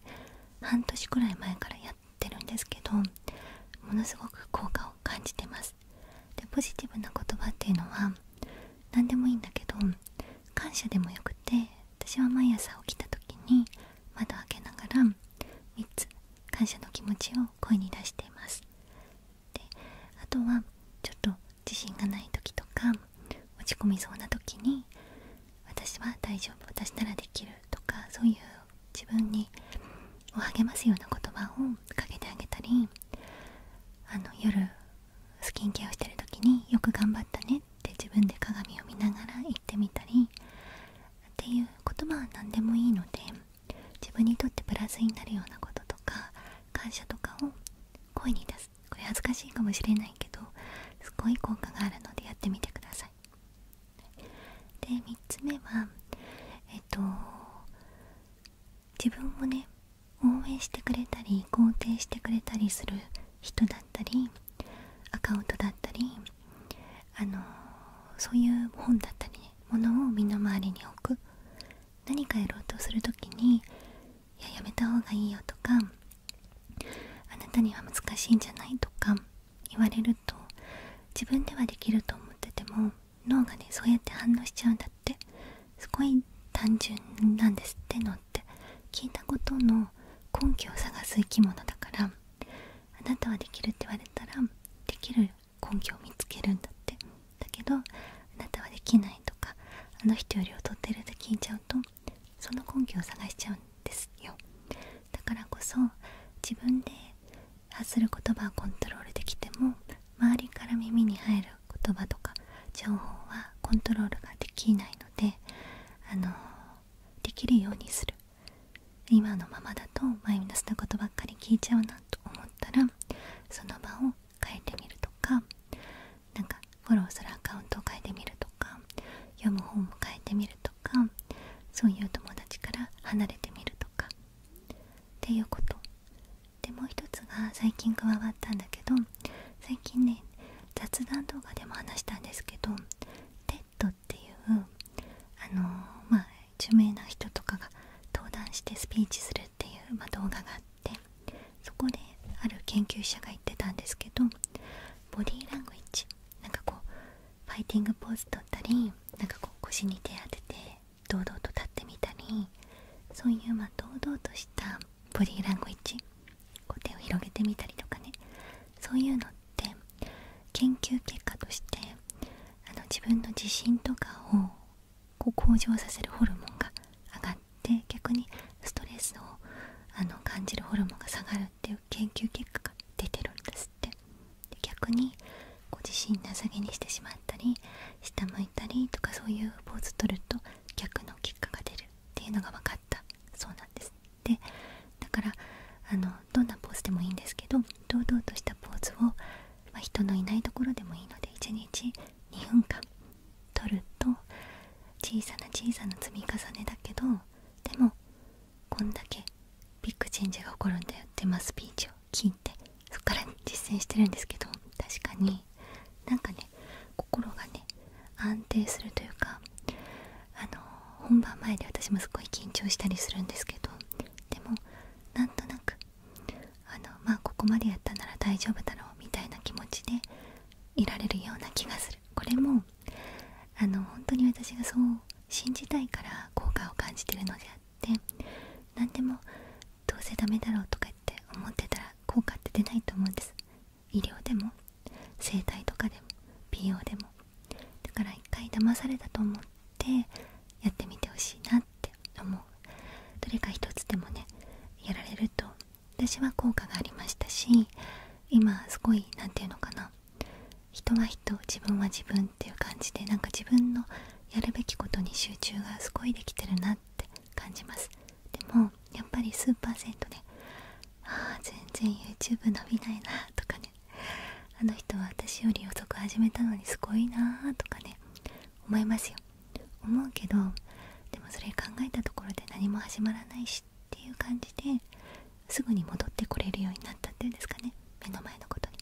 半年くらい前からやってるんですけどものすごく効果を感じてますでポジティブな言葉っていうのは何でもいいんだけど感謝でもよくて私は毎朝起きた時に窓開けながら3つ感謝の気持ちを声に出していますであとはちょっと自信がない時とか落ち込みそうな時に私は大丈夫私ならできるとかそういう自分にを励ますような言葉をかけてあげたりあの夜スキンケアをしてる時によく頑張ったねって自分で鏡を見ながら行ってみたりっていう言葉は何でもいいので自分にとってプラスになるようなこととか感謝とかを声に出すこれ恥ずかしいかもしれないけどすごい効果があるのでやってみてくださいで3つ目はえっと自分をね応援してくれたり肯定してくれたりする人だったりアカウントだったりあのそういう本だったりものを身の回りに置く何かやろうとする時に「いややめた方がいいよ」とか「あなたには難しいんじゃない?」とか言われると自分ではできると思ってても脳がねそうやって反応しちゃうんだってすごい単純なんですってのって聞いたことの根拠を探す生き物だからあなたはできるって言われたらできる根拠を見つけるんだってだけどあなたはできないとかあの人より劣ってるって聞いちゃうとその根拠を探しちゃうんですよだからこそ自分で発する言葉をコントロールできても周りから耳に入る言葉とか情報はコントロールができないのであのできるようにする今のままだとマイナスなことばっかり聞いちゃうなと思ったらその場を変えてみるとかなんかフォローするアカウントを変えてみるとか読む本を変えてみるとかそういう友達から離れてみるとかっていうことでもう一つが最近加わったんだけど最近ね雑談動画でも話したんですけど t ッ d っていうあのまあ著名な人とかが登壇してスピーチするっていう、ま動画があってそこである研究者が言ってたんですけどボディーラングイッジなんかこうファイティングポーズ取ったりなんかこう腰に手当てて堂々と立ってみたりそういうま堂々としたボディーランゴイッジこう手を広げてみたりとかねそういうのって研究結果としてあの自分の自信とかをこう向上させるホルモンが上がって逆にストレスをあの感じるホルモンが下がるっていう研究結果が出てるんですってで逆にこ自信なさげにしてしまったり下向いたりとかそういうポーズ取ると逆の結果が出るっていうのが分かったそうなんですでだからあのどんなポーズでもいいんですけど堂々としたポーズを、ま人のいないところでもいいので1日2分間取ると小さな小さな積み重ねだけどでもこんだけビッグチェンジが起こるんだよってまスピーチを聞いてそこから実践してるんですけど確かになんかね心がね安定するというかあの本番前で私もすごい緊張したりするんですけどでもなんとなくあのまあここまでやったなら大丈夫だろうみたいな気持ちでいられるような気がするこれもあの本当に私がそう信じたいから効果を感じてるのであって何でもどうせダメだろうとか言って思ってたら効果って出ないと思うんです医療でも整体とかでも美容でもだから一回騙されたと思ってやってみてほしいなって思うどれか一つでもねやられると私は効果がありましたし今すごい何て言うのかな人は人自分は自分っていう感じでなんか自分のやるべきことに集中がすごいできてるなって感じますでもやっぱりスーパーセントねああ全然 YouTube 伸びないなとかねあの人私より遅く始めたのにすごいなーとかね思いますよ思うけどでもそれ考えたところで何も始まらないしっていう感じですぐに戻ってこれるようになったっていうんですかね目の前のことに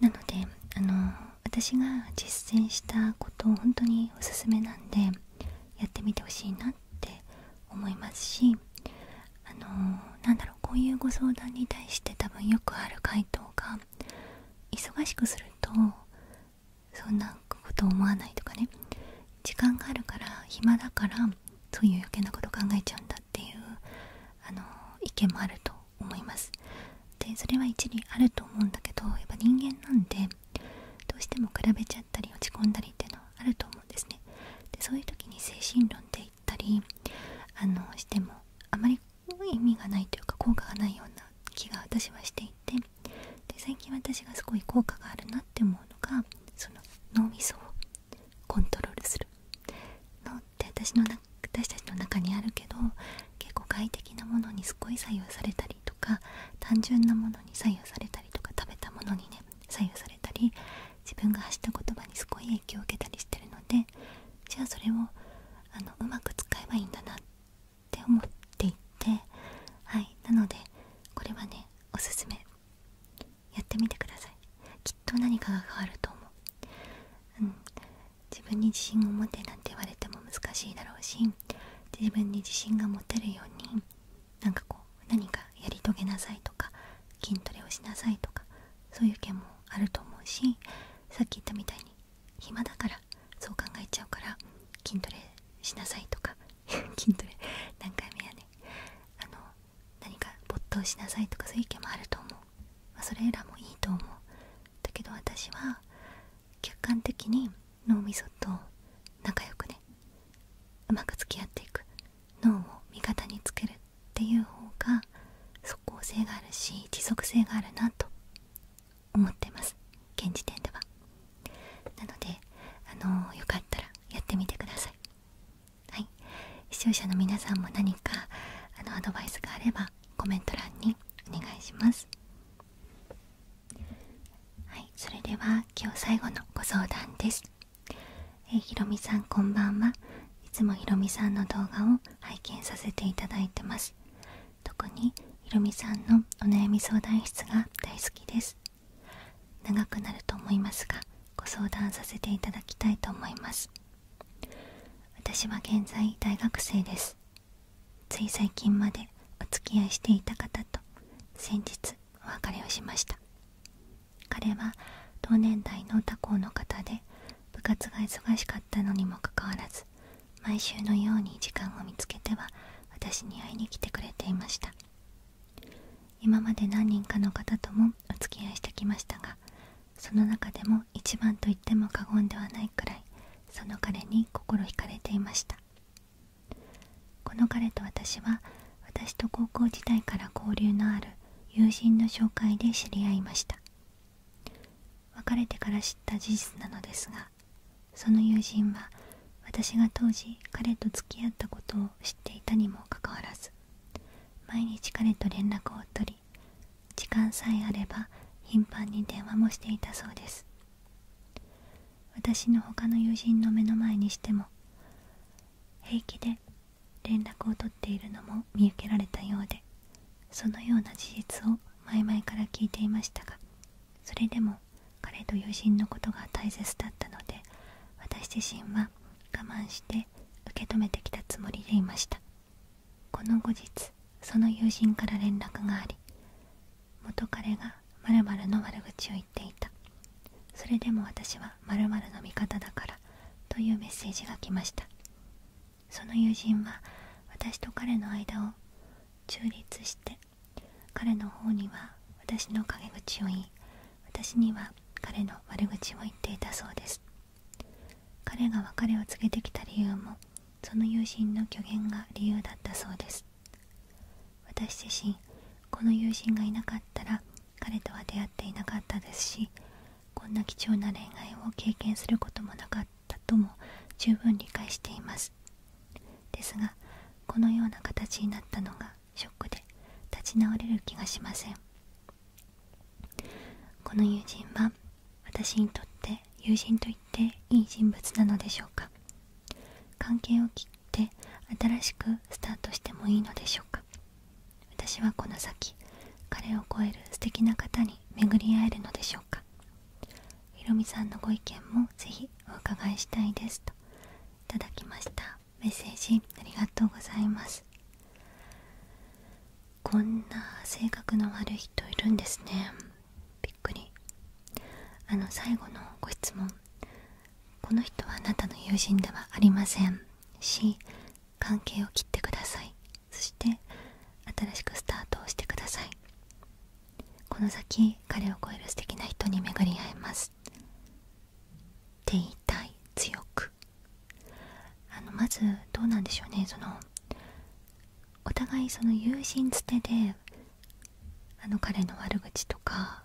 なのであの私が実践したことを本当におすすめなんでやってみてほしいなって思いますしあのー、なんだろうこういうご相談に対して多分よくある回答が忙しくするとそんなこと思わないとかね時間があるから暇だからそういう余計なこと考えちゃうんだっていうあの意見もあると思いますでそれは一理あると思うんだけどやっぱ人間なんでどうしても比べちゃったり落ち込んだりっていうのはあると思うんですねでそういう時に精神論って言ったりあのしてもあまり意味がないというか効果がないような気が私はしていてで最近私がすごい効果があるなって思うのがその脳みそをコントロールするのって私の私たちの中にあるけど結構快適なものにすごい左右されたとか単純なものに左右されたりとか食べたものにね左右されたり自分が発した言葉にすごい影響を受けたりしてるのでじゃあそれをあのうまく使えばいいんだなって思っていてはいなのでこれはねおすすめやってみてくださいきっと何かが変わると思ううん自分に自信を持てなんて言われても難しいだろうし自分に自信が持てるようになんかこう何かやり遂げなさいとか筋トレをしなさいとかそういう意見もあると思うしさっき言ったみたいに暇だからそう考えちゃうから筋トレしなさいとか 筋トレ何回目やねあの何か没頭しなさいとかそういう意見もあると思う、まそれらもいいと思うだけど私は客観的に脳みそと仲良くねうまく付き合っていく脳を味方につけるっていう方が即効性があるし持続性があるなと思ってます現時点ではなのであのー、よかったらやってみてくださいはい視聴者の皆さんも何かあのアドバイスがあればコメント欄にお願いしますはいそれでは今日最後のご相談ですえひろみさんこんばんはいつもひろみさんの動画を拝見させていただいてます特にひろみさんのお悩み相談室が大好きです長くなると思いますがご相談させていただきたいと思います私は現在大学生ですつい最近までお付き合いしていた方と先日お別れをしました彼は同年代の他校の方で部活が忙しかったのにもかかわらず毎週のように時間を見つけては私に会いに来てくれていました今まで何人かの方ともお付き合いしてきましたがその中でも一番と言っても過言ではないくらいその彼に心惹かれていましたこの彼と私は私と高校時代から交流のある友人の紹介で知り合いました別れてから知った事実なのですがその友人は私が当時彼と付き合ったことを知っていたにもかかわらず毎日彼と連絡を取り時間さえあれば頻繁に電話もしていたそうです私の他の友人の目の前にしても平気で連絡を取っているのも見受けられたようでそのような事実を前々から聞いていましたがそれでも彼と友人のことが大切だったので私自身は我慢して受け止めてきたつもりでいましたこの後日その友人から連絡があり元彼が〇〇の悪口を言っていたそれでも私は〇〇の味方だからというメッセージが来ましたその友人は私と彼の間を中立して彼の方には私の陰口を言い私には彼の悪口を言っていたそうです彼が別れを告げてきた理由もその友人の虚言が理由だったそうです私自身この友人がいなかったら彼とは出会っていなかったですしこんな貴重な恋愛を経験することもなかったとも十分理解していますですがこのような形になったのがショックで立ち直れる気がしませんこの友人は私にとって友人と言っていい人物なのでしょうか関係を切って新しくスタートしてもいいのでしょうか私はこの先彼を超える素敵な方に巡り合えるのでしょうかひろみさんのご意見もぜひお伺いしたいですといただきましたメッセージありがとうございますこんな性格の悪い人いるんですねびっくりあの最後のご質問この人はあなたの友人ではありませんし関係を切ってくださいそして新しくスタートをしてくださいこの先彼を超える素敵な人に巡り合えますって言いたい強くあのまずどうなんでしょうねそのお互いその友人捨てであの彼の悪口とか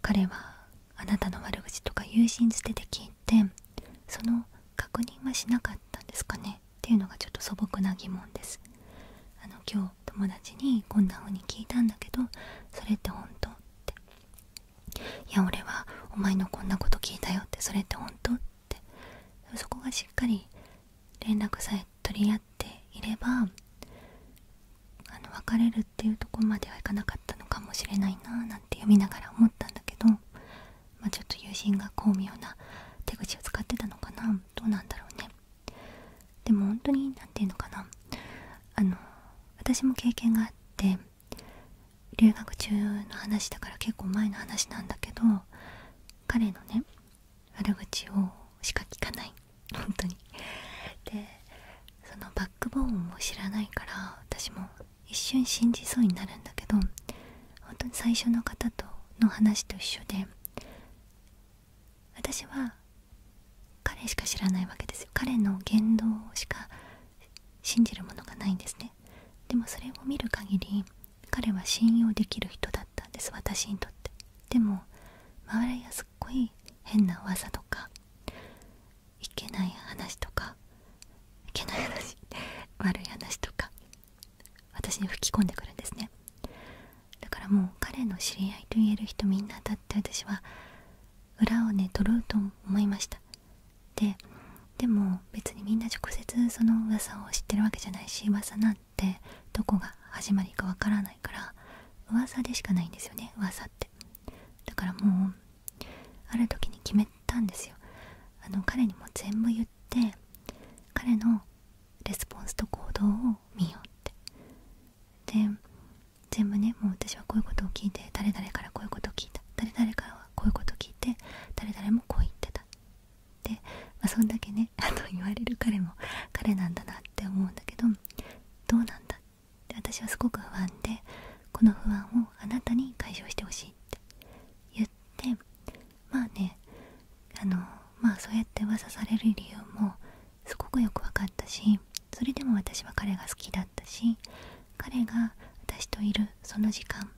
彼はあなたの悪口とか友人捨てで聞いてその確認はしなかったんですかねっていうのがちょっと素朴な疑問ですあの今日友達にこんな風に聞いたんだけどそれって本当っていや俺はお前のこんなこと聞いたよってそれって本当ってそこがしっかり連絡さえ取り合っていればあの別れるっていうとこまではいかなかったのかもしれないななんて読みながら思ったんだけど、まちょっと友人が巧妙な手口を使ってたのかなどうなんだろうねでも本当に何て言うのかなあの私も経験があって留学中の話だから結構前の話なんだけど彼のね悪口をしか聞かない本当にでそのバックボーンを知らないから私も一瞬信じそうになるんだけど本当に最初の方との話と一緒で私は彼しか知らないわけですよ彼の言動しか信じるものがないんですねでもそれを見る限り彼は信用できる人だったんです私にとってでも周りはすっごい変な噂とかいけない話とかいけない話悪い話とか私に吹き込んでくるんですねだからもう彼の知り合いと言える人みんなだって私は裏をね取ろうと思いましたででも別にみんな直接その噂を知ってるわけじゃないし噂なんっどこが始まりかわからないから噂でしかないんですよね噂ってだからもうある時に決めたんですよあの彼にも全部言って彼のレスポンスと行動を見ようってで全部ねもう私はこういうことを聞いて誰々からこういうことを聞いた誰々からはこういうことを聞いて誰々もこう言ってたで、まそんだけねね言われる彼も彼なんだなって思うんだけどどうなんだって私はすごく不安でこの不安をあなたに解消してほしいって言ってまあねあのまあそうやって噂される理由もすごくよく分かったしそれでも私は彼が好きだったし彼が私といるその時間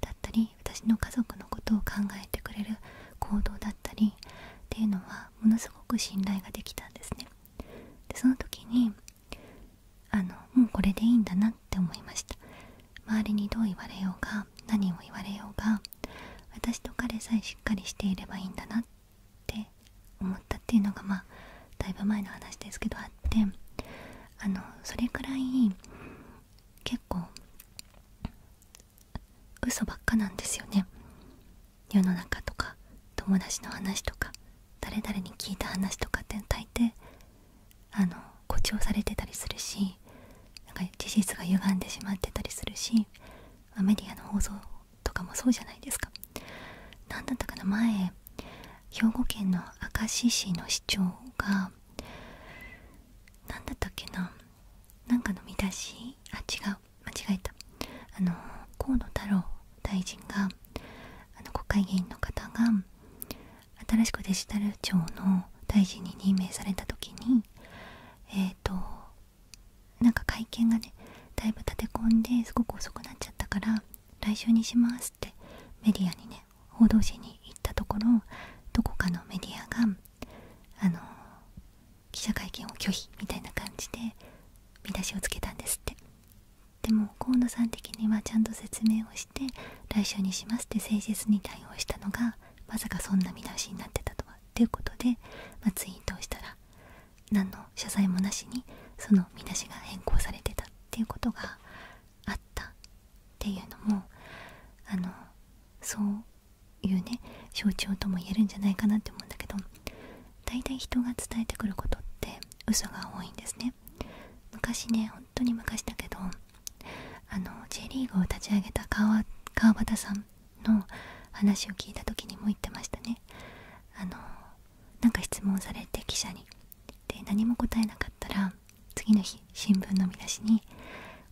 だったり私の家族のことを考えてくれる行動だったりっていうのはものすごく信頼ができたんですねでその時にあのもうこれでいいんだなって思いました周りにどう言われようが何を言われようが私と彼さえしっかりしていればいいんだなって思ったっていうのがまあだいぶ前の話ですけどあってあのそれくらい結構嘘ばっかなんですよね世の中とか友達の話とか誰々に聞いた話とかって大抵あの誇張されてたりするしなんか事実が歪んでしまってたりするしメディアの放送とかもそうじゃないですか何だったかな前兵庫県の明石市の市長が何だったっけななんかの見出しあ違う間違えたあの河野太郎大臣があの国会議員の方が新しくデジタル庁の大臣に任命された時にえっ、となんか会見がねだいぶ立て込んですごく遅くなっちゃったから来週にしますってメディアにね報道陣に行ったところどこかのメディアがあの記者会見を拒否みたいな感じで見出しをつけたんですってでも河野さん的にはちゃんと説明をして来週にしますって誠実に対応したのがまさかそんな見出しになってたとはっていうことで、まツイートをしたら何の謝罪もなしにその見出しが変更されてたっていうことがあったっていうのもあのそういうね象徴とも言えるんじゃないかなって思うんだけど大体人が伝えてくることって嘘が多いんですね昔ね本当に昔だけどあの J リーグを立ち上げた川川端さんの話を聞いた時にも言ってましたねあのなんか質問されて記者にで何も答えなかったら次の日新聞の見出しに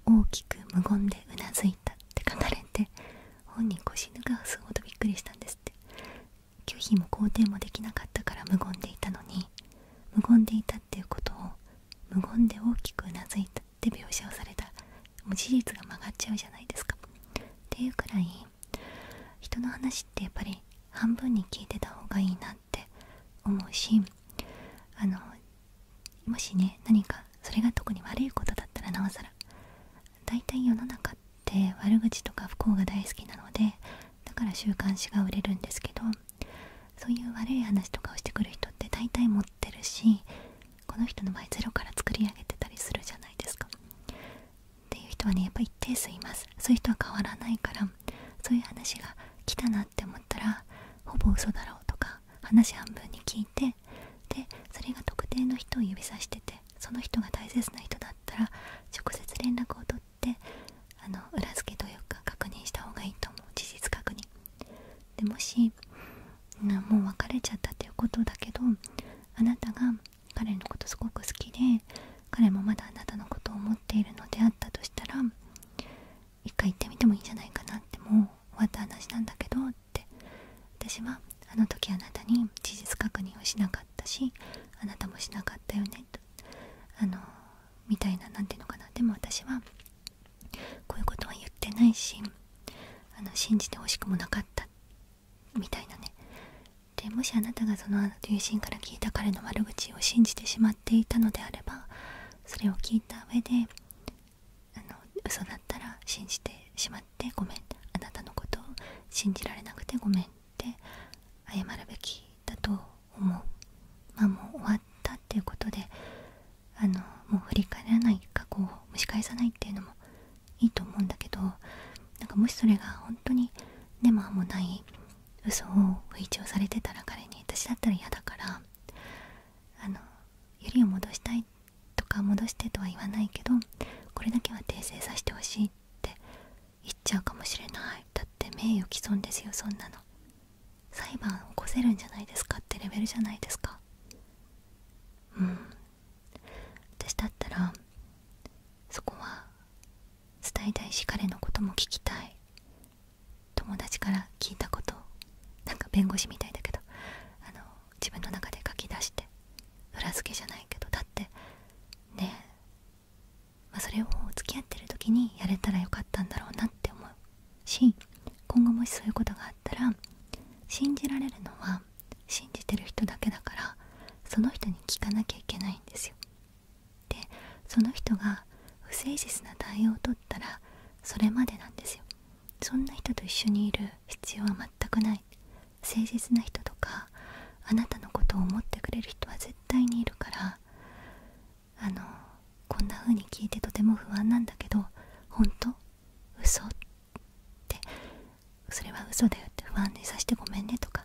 大きく無言でうなずいたって書かれて本人腰抜かすほどびっくりしたんですって拒否も肯定もできなかったから無言でいたのに無言でいたっていうことを無言で大きくうなずいたって描写をされたもう事実が曲がっちゃうじゃないですかっていうくらい人の話ってやっぱり半分に聞いてた方がいいなって思うしあのもしね何かそれが特に悪いことだったらなおさら大体世の中って悪口とか不幸が大好きなのでだから週刊誌が売れるんですけどそういう悪い話とかをしてくる人って大体持ってるしこの人の場合ゼロから作り上げてたりするじゃないですかっていう人はねやっぱ一定数いますそういう人は変わらないからそういう話が来たなって思ったらほぼ嘘だろうとか話半分に聞いてでそれが特定の人を指さしててその人が大切な人だったら直接連絡を取ってあの裏付けというか確認した方がいいと思う事実確認でもしなもう別れちゃったっていうことだけどあなたが彼のことすごく好きで彼もまだあなたのことを思っているのであったとしたら一回行ってみてもいいんじゃないかなってもう終わった話なんだけどって私はあの時あなたに事実確認をしなかったしあなたもしなかったよねとあのみたいな何て言うのかなでも私はこういうことは言ってないしあの信じてほしくもなかったみたいなねでもしあなたがその友人から聞いた彼の悪口を信じてしまっていたのであればそれを聞いた上であの嘘だったら信じてしまってごめんあなたのことを信じられなくてごめんって謝るべきだと思うまあもう終わったっていうことであのもう振り返らない過去を蒸し返さないっていうのもいいと思うんだけどなんかもしそれが本当に根も葉もない嘘を不一応されてたら彼に私だったら嫌だからあのゆりを戻したいとか戻してとは言わないけどこれだけは訂正させてほしいって言っちゃうかもしれないだって名誉毀損ですよそんなの裁判起こせるんじゃないですかってレベルじゃないですかうん私だったらそこは伝えたいし彼のことも聞きたい友達から聞いたことをなんか弁護士みたいだけどあの自分の中で書き出して裏付けじゃないけどだってねえ、まそれを付き合ってる時にやれたらよかったんだろうなって思うし今後もしそういうことがあったら信じられるのは信じてる人だけだからその人に聞かなきゃいけないんですよでその人が不誠実な対応たらそれまでなんですよそんな人と一緒にいる必要は全くない誠実な人とかあなたのことを思ってくれる人は絶対にいるからあのこんな風に聞いてとても不安なんだけど本当嘘ってそれは嘘だよって不安にさせてごめんねとか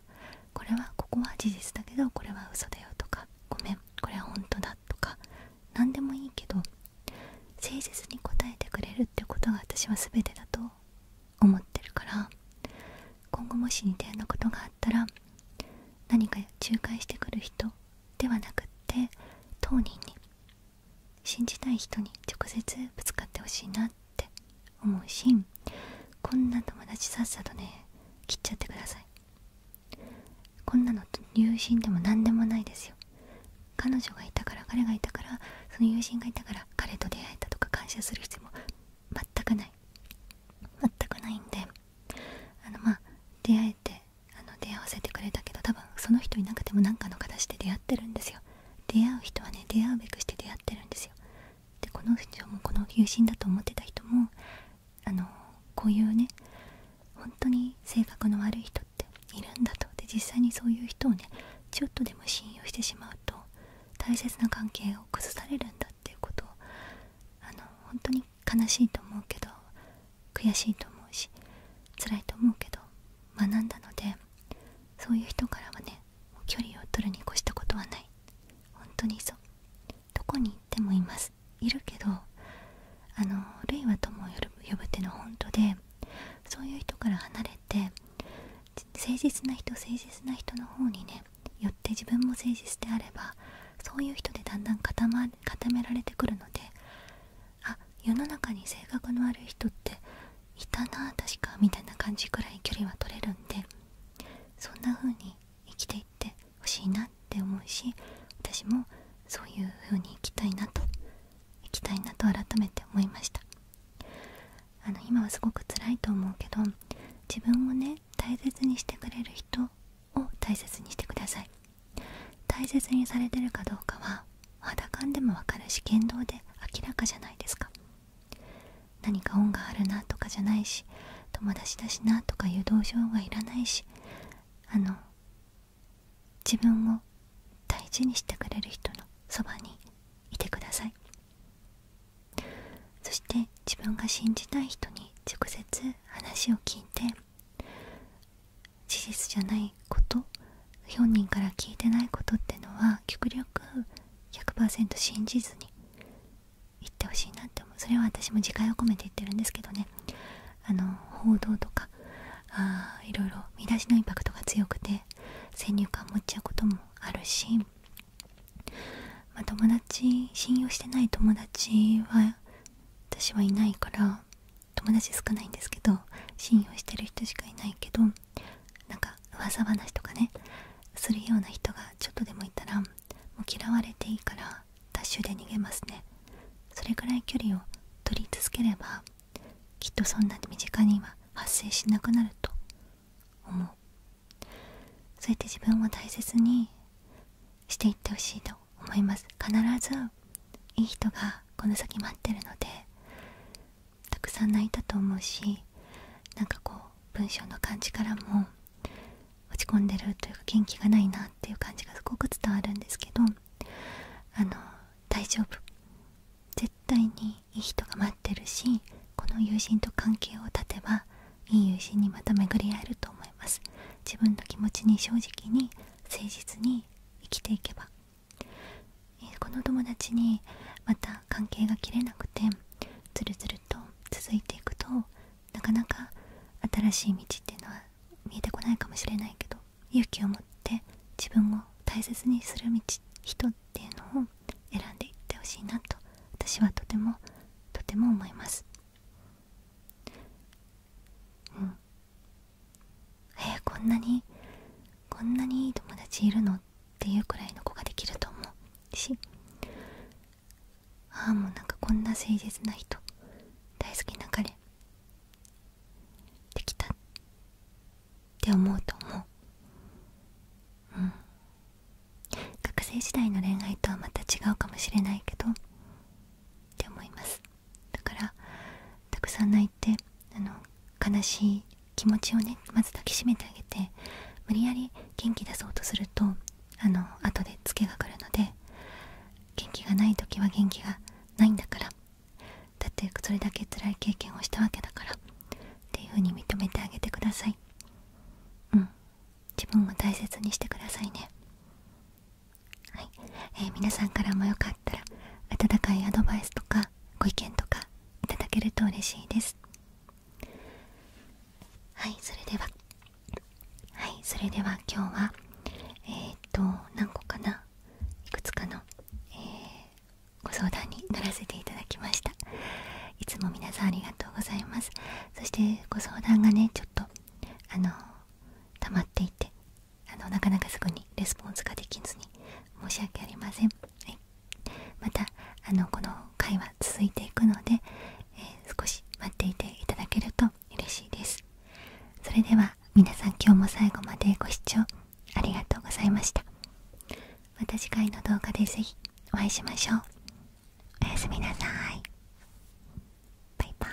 これはここは事実だけどこれは嘘だよとかごめんこれは本当だとか何でもいいけど誠実に答えてくれるってことが私は全てだと思ってるから今後もし似たようなことがあったら何か仲介してくる人ではなくって当人に信じたい人に直接ぶつかってほしいなって思うしこんな友達さっさとね切っちゃってくださいこんなの友人でも何でもないですよ彼女がいたから彼がいたからその友人がいたから彼と出会えたとか感謝する必要も全くない全くないんであのまあ出会えてあの出会わせてくれたけど多分その人いなくても何かの形で出会ってるんですよ出会う人はね出会うべくして出会ってるんですよでこの人もこの友人だと思ってた人もあのこういうね本当に性格の悪い人っているんだとで実際にそういう人をねちょっとでも信用してしまうと大切な関係を崩されるんだっていうことをあの本当に悲しいと思うけど悔しいと思うし辛いと思うけど学んだのでそういう人からはね距離を取るに越したことはない本当にそうどこに行ってもいますいるけどあのルイは友を呼ぶってのは本当でそういう人から離れて誠実な人誠実な人の方にね寄って自分も誠実であればそういう人でだんだん固,、ま、固められてくるのであ世の中に性格のある人っていたな確かみたいな感じくらい距離は取れるんでそんな風に生きていってほしいなっって思うし私もそういう風に行きたいなと行きたいなと改めて思いましたあの今はすごく辛いと思うけど自分をね大切にしてくれる人を大切にしてください大切にされてるかどうかは肌感でもわかるし言動で明らかじゃないですか何か恩があるなとかじゃないし友達だしなとかいう同情はいらないしあの自分を大事にしてくれる人のそばにいてくださいそして自分が信じたい人に直接話を聞いて事実じゃないこと本人から聞いてないことってのは極力100%信じずに言ってほしいなって思うそれは私も自戒を込めて言ってるんですけどねあの報道とかあいろいろ見出しのインパクトが強くて先入観持っちゃうこともあるし、まあ、友達信用してない友達は私はいないから友達少ないんですけど信用してる人しかいないけどなんか噂話とかねするような人がちょっとでもいたらもう嫌われていいからダッシュで逃げますねそれくらい距離を取り続ければきっとそんなに身近には発生しなくなると思うそうやって自分を大切にしていってほしいと思います必ずいい人がこの先待ってるのでたくさん泣いたと思うしなんかこう文章の感じからも落ち込んでるというか元気がないなっていう感じがすごく伝わるんですけどあの大丈夫絶対にいい人が待ってるしこの友人と関係を立てばいい友人にまた巡り合えると思います自分の気持ちに正直に誠実に生きていけば、えこの友達にまた関係が切れなくてずるずると続いていくとなかなか新しい道っていうのは見えてこないかもしれないけど勇気を持って自分を大切にする道人っていうのを選んでいってほしいなと私はとてもとても思いますうんえー、こんなにこんなにいい友達いるのっていうくらいの子ができると思うしああもうなんかこんな誠実な人大好きな彼できたって思うと思う学生時代の恋愛とはまた違うかもしれないけどって思いますだからたくさん泣いてあの悲しい気持ちをねまず抱きしめてあげて無理やり元気出そうとするとあの後でツケが来るので元気がない時は元気がないんだからだってそれだけ辛い経験をしたわけだからっていう風に認めてあげてくださいうん自分を大切にしてくださいねはい、え皆さんからもよかったら温かいアドバイスとかご意見とかいただけると嬉しいですはいそれでははいそれでは今日はえっ、と何個かないくつかの、えご相談に乗らせていただきましたいつも皆さんありがとうございますそしてご相談がねちょっとあの溜まっていてあのなかなかすぐにレスポンスができずに申し訳ありません、はい、またあのこの回は続いていくので、え少し待っていていただけると嬉しいですそれでは皆さん今日も最後までご視聴ありがとうございましたまた次回の動画で是非お会いしましょうおやすみなさいバイバイ